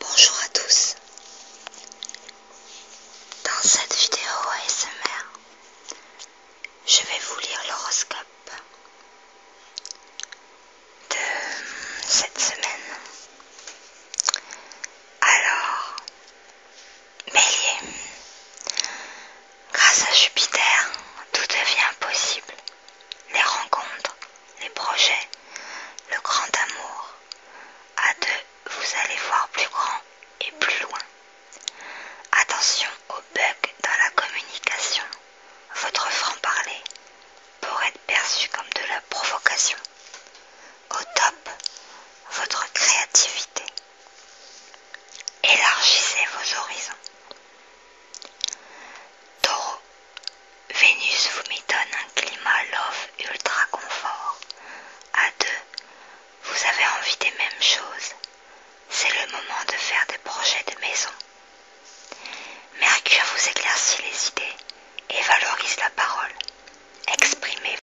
Bonjour à tous. Dans cette vidéo ASMR, je vais vous lire l'horoscope de cette semaine. Alors, Bélier. Grâce à Jupiter, tout devient possible. Les rencontres, les projets, le grand amour. A deux, vous allez voir plus grand et plus loin. Attention au bugs dans la communication. Votre franc-parler pourrait être perçu comme de la provocation. Au top, votre créativité. Élargissez vos horizons. Taureau, Vénus vous donne un climat love ultra confort. À deux, vous avez envie des mêmes choses. C'est le moment de faire des projets de maison. Mercure vous éclaircit les idées et valorise la parole. Exprimez vous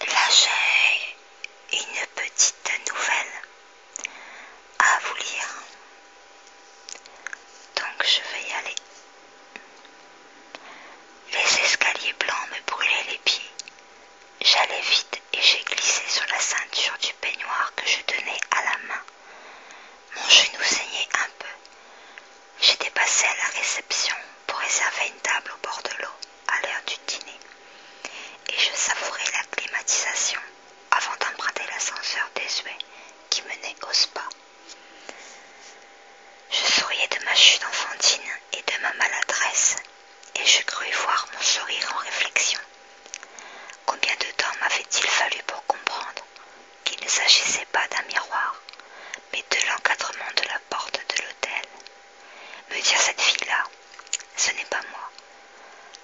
Là, j'ai une petite nouvelle à vous lire. Donc, je vais y aller. Les escaliers blancs me brûlaient les pieds. J'allais vite et j'ai glissé sur la ceinture du peignoir que je tenais à la main. Mon genou saignait un peu. J'étais passé à la réception pour réserver une table au bord de l'eau à l'heure du dîner. Et je savourais la climatisation avant d'emprunter l'ascenseur désuet qui menait au spa. Je souriais de ma chute enfantine et de ma maladresse, et je crus voir mon sourire en réflexion. Combien de temps m'avait-il fallu pour comprendre qu'il ne s'agissait pas d'un miroir, mais de l'encadrement de la porte de l'hôtel Me dire cette fille-là, ce n'est pas moi.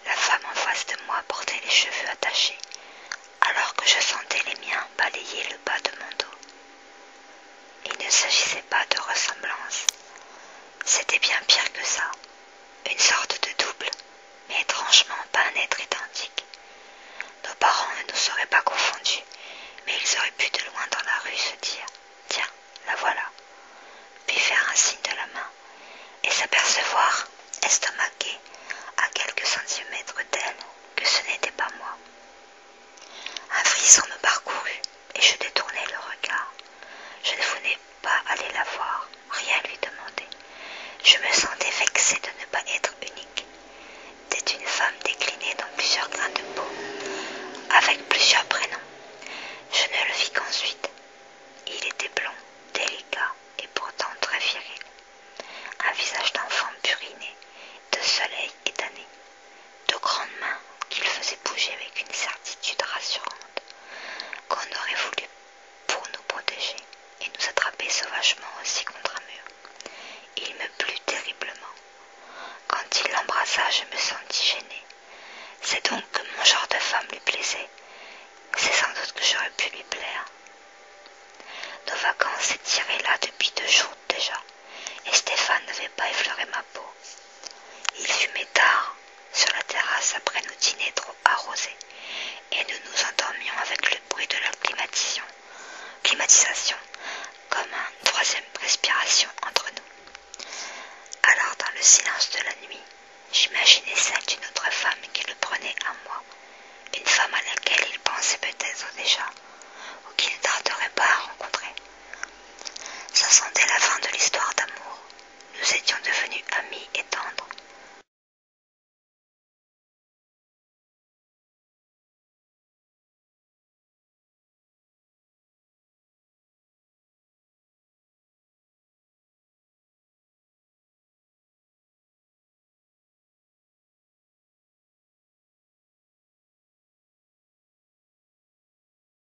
La femme en face de moi portait les cheveux attachés, alors que je sentais les miens balayer le bas de mon dos. Il ne s'agissait pas de ressemblance, c'était bien pire que ça. Une sorte de double, mais étrangement pas un être identique. Nos parents ne nous seraient pas confondus, mais ils auraient pu de loin dans la rue se dire Tiens, la voilà, puis faire un signe de la main et s'apercevoir, estomaqué, à quelques centimètres d'elle, que ce n'était pas moi. Un frisson me parcourut et je détournai le regard. Je ne voulais pas aller la voir, rien lui demander. Je me sentais vexée de ne pas être unique, C'était une femme déclinée dans plusieurs grains de peau, avec plusieurs prénoms. Je ne le vis qu'ensuite. Il était blond, délicat et pourtant très viril. Un visage d'enfant puriné, de soleil et d'année. De grandes mains qu'il faisait bouger avec une certitude rassurante qu'on aurait voulu pour nous protéger et nous attraper sauvagement aussi contre un mur. Il me plut terriblement. Quand il l'embrassa, je me sentis gênée. C'est donc que mon genre de femme lui plaisait. C'est sans doute que j'aurais pu lui plaire. Nos vacances s'étiraient là depuis deux jours déjà, et Stéphane n'avait pas effleuré ma peau. Il fumait tard, sur la terrasse après nos dîner trop arrosés, et nous nous endormions avec le bruit de la climatisation, comme une troisième respiration entre nous. Alors dans le silence de la nuit, j'imaginais celle d'une autre femme qui le prenait à moi, une femme à laquelle il pensait peut-être déjà, ou qu'il ne tarderait pas à rencontrer. Ça sentait la fin de l'histoire d'amour, nous étions devenus amis et tendres.